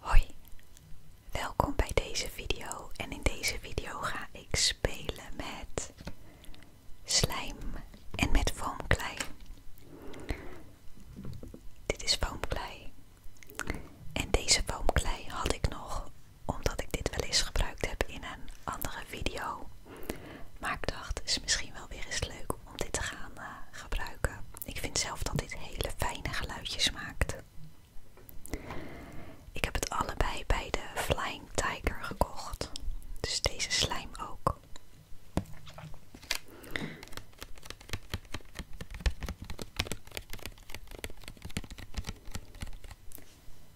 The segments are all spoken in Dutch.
Hoi, welkom bij deze video en in deze video ga ik spelen met slijm en met foamklei. Dit is foamklei en deze foamklei had ik nog omdat ik dit wel eens gebruikt heb in een andere video. Maar ik dacht, het is misschien wel weer eens leuk om dit te gaan eh, gebruiken. Ik vind zelf dat dit hele fijne geluidjes maakt. Ik heb het allebei bij de Flying Tiger gekocht. Dus deze slijm ook.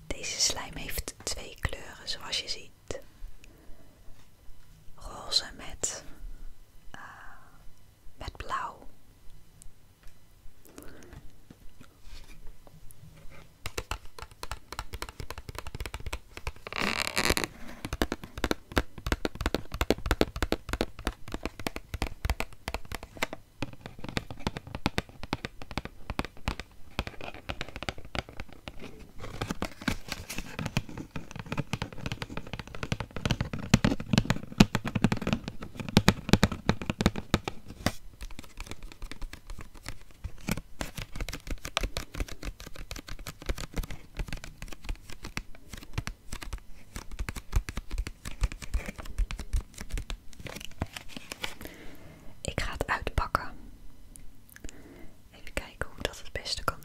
Deze slijm heeft twee kleuren zoals je ziet. Roze met eh, met blauw. Ik ga het uitpakken. Even kijken hoe dat het beste kan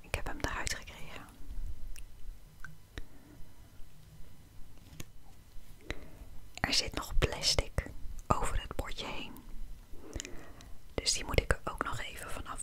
Ik heb hem eruit gekregen. Er zit nog plastic over het bordje heen. Dus die moet ik er ook nog even vanaf.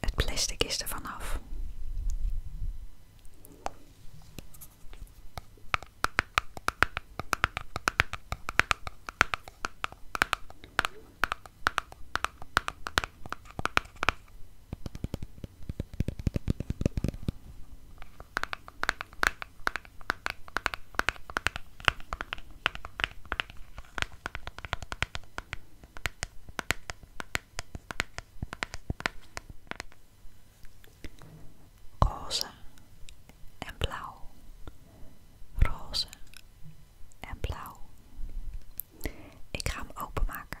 Het plastic is er vanaf roze en blauw, roze en blauw. Ik ga hem openmaken.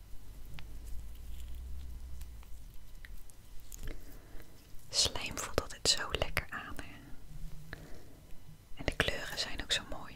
Slijm voelt altijd zo lekker aan. Hè? En de kleuren zijn ook zo mooi.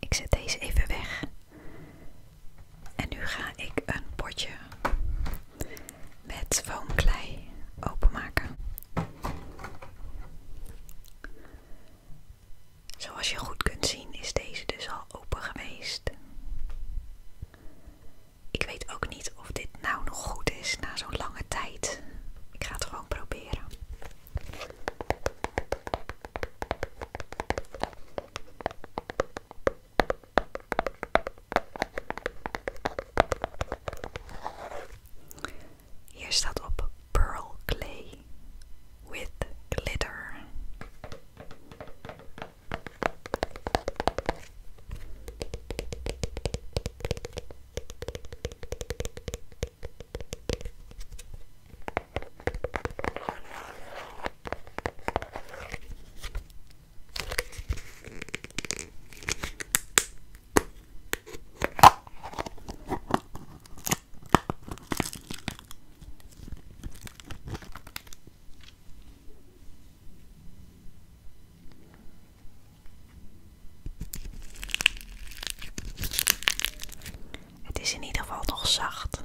Ik zet deze even weg. En nu ga ik een potje met foamklei openmaken. Zoals je goed kunt zien is deze dus al open geweest. Ik weet ook niet of dit nou nog goed is na zo'n lange tijd. Ik ga het gewoon proberen. Hier staat op pearl clay with glitter. Het is in ieder geval nog zacht.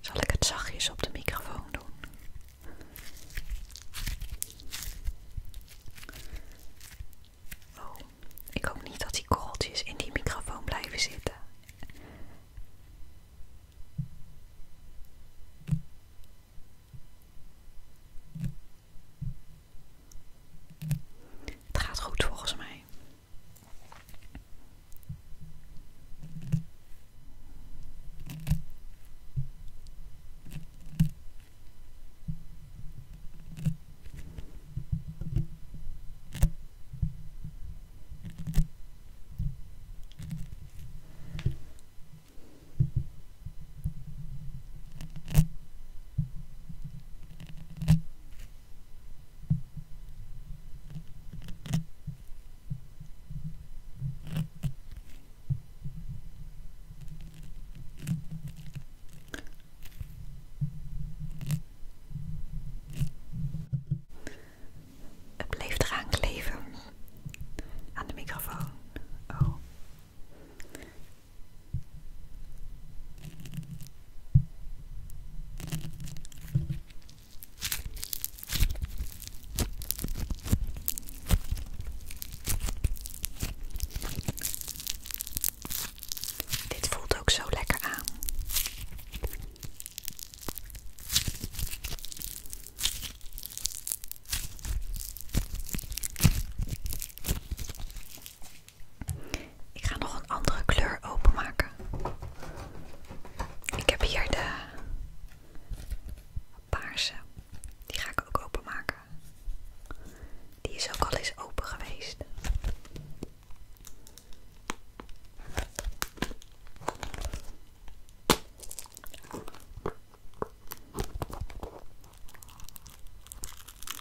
Zal ik het zachtjes op de microfoon doen? Oh, ik hoop niet dat die korreltjes in die microfoon blijven zitten. Het gaat goed volgens mij. Het bleef eraan kleven aan de microfoon. Oh. Dit voelt ook zo lekker aan. Ik ga nog een andere kleur openmaken. Ik heb hier de paarse. Die ga ik ook openmaken. Die is ook al eens open geweest.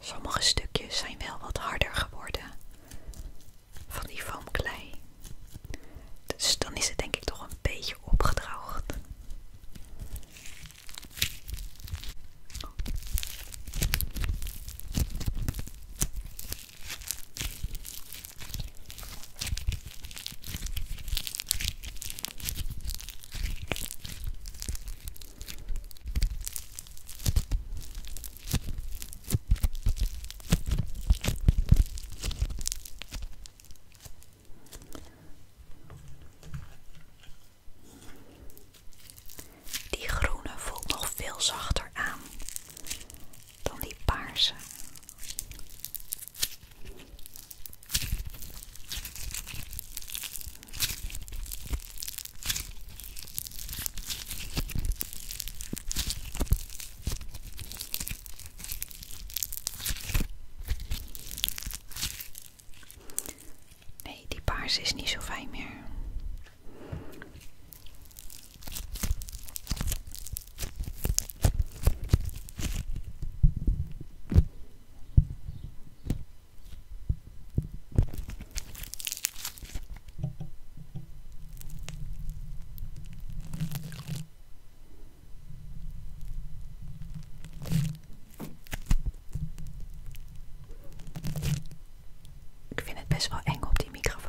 Sommige stukjes zijn wel wat harder geworden van die foamklei. Dus dan is het denk ik toch een beetje opgedroogd. Die groene voelt nog veel zachter aan dan die paarse. Nee, die paars is niet zo fijn meer. Ik vind het best wel eng op die microfoon.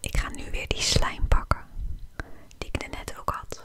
Ik ga nu weer die slijm pakken die ik net ook had.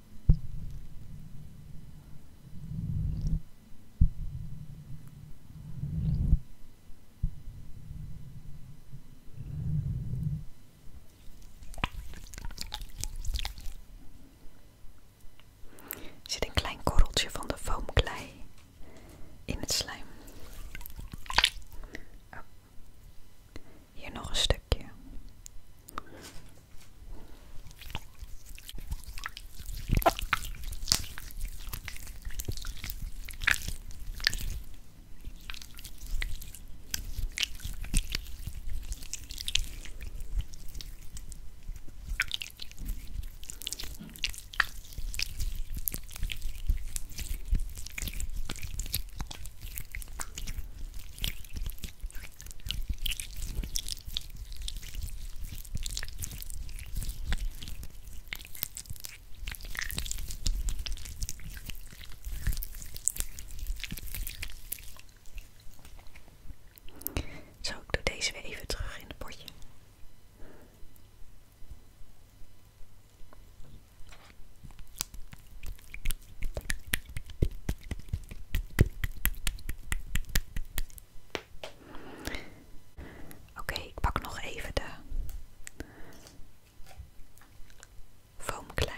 zit een klein korreltje van de foamklei in het slijm. Oh. Hier nog een stukje. Zo, ik doe deze weer even terug in het potje. Oké, ik pak nog even de foamklei.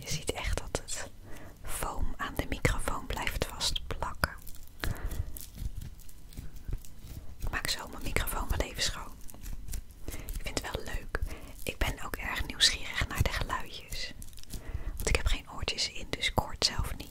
Je ziet echt dat het foam aan de microfoon blijft vastplakken. Ik maak zo mijn microfoon wel even schoon. Ik vind het wel leuk. Ik ben ook erg nieuwsgierig naar de geluidjes. Want ik heb geen oortjes in, dus ik hoor zelf niet.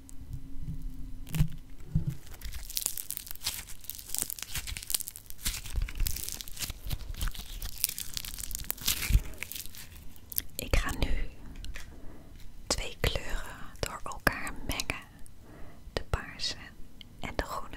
Ik ga nu twee kleuren door elkaar mengen: de paarse en de groene.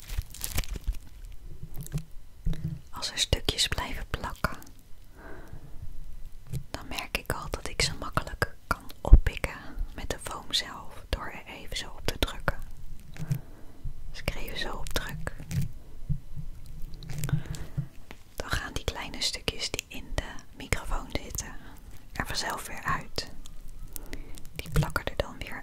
Als er stukjes blijven plakken, dan merk ik al dat ik ze makkelijk kan oppikken met de foam zelf door er even zo op te drukken. Dus ik even zo op druk. Dan gaan die kleine stukjes die in de microfoon zitten er vanzelf weer uit. Die plakken er dan weer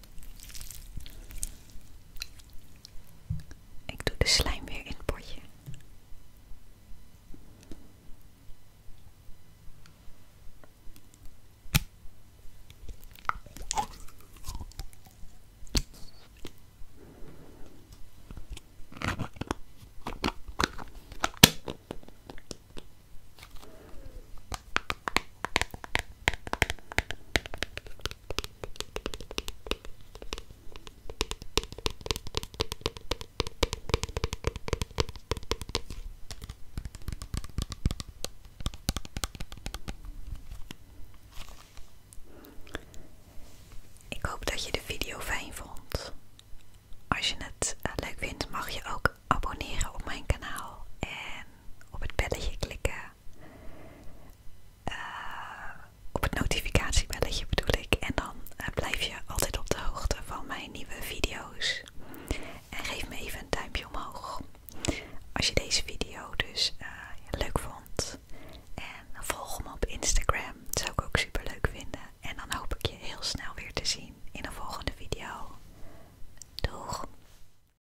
Ik doe de slijm weer in het potje. Ik hoop dat je de video fijn vond. Als je het eh, leuk vindt, mag je ook abonneren op mijn kanaal en op het belletje klikken eh, op het notificatiebelletje bedoel ik. En dan eh, blijf je altijd op de hoogte van mijn nieuwe video's. En geef me even een duimpje omhoog als je deze video dus eh, leuk vond. En volg me op Instagram, dat zou ik ook super leuk vinden. En dan hoop ik je heel snel weer te zien in een volgende video. Doeg!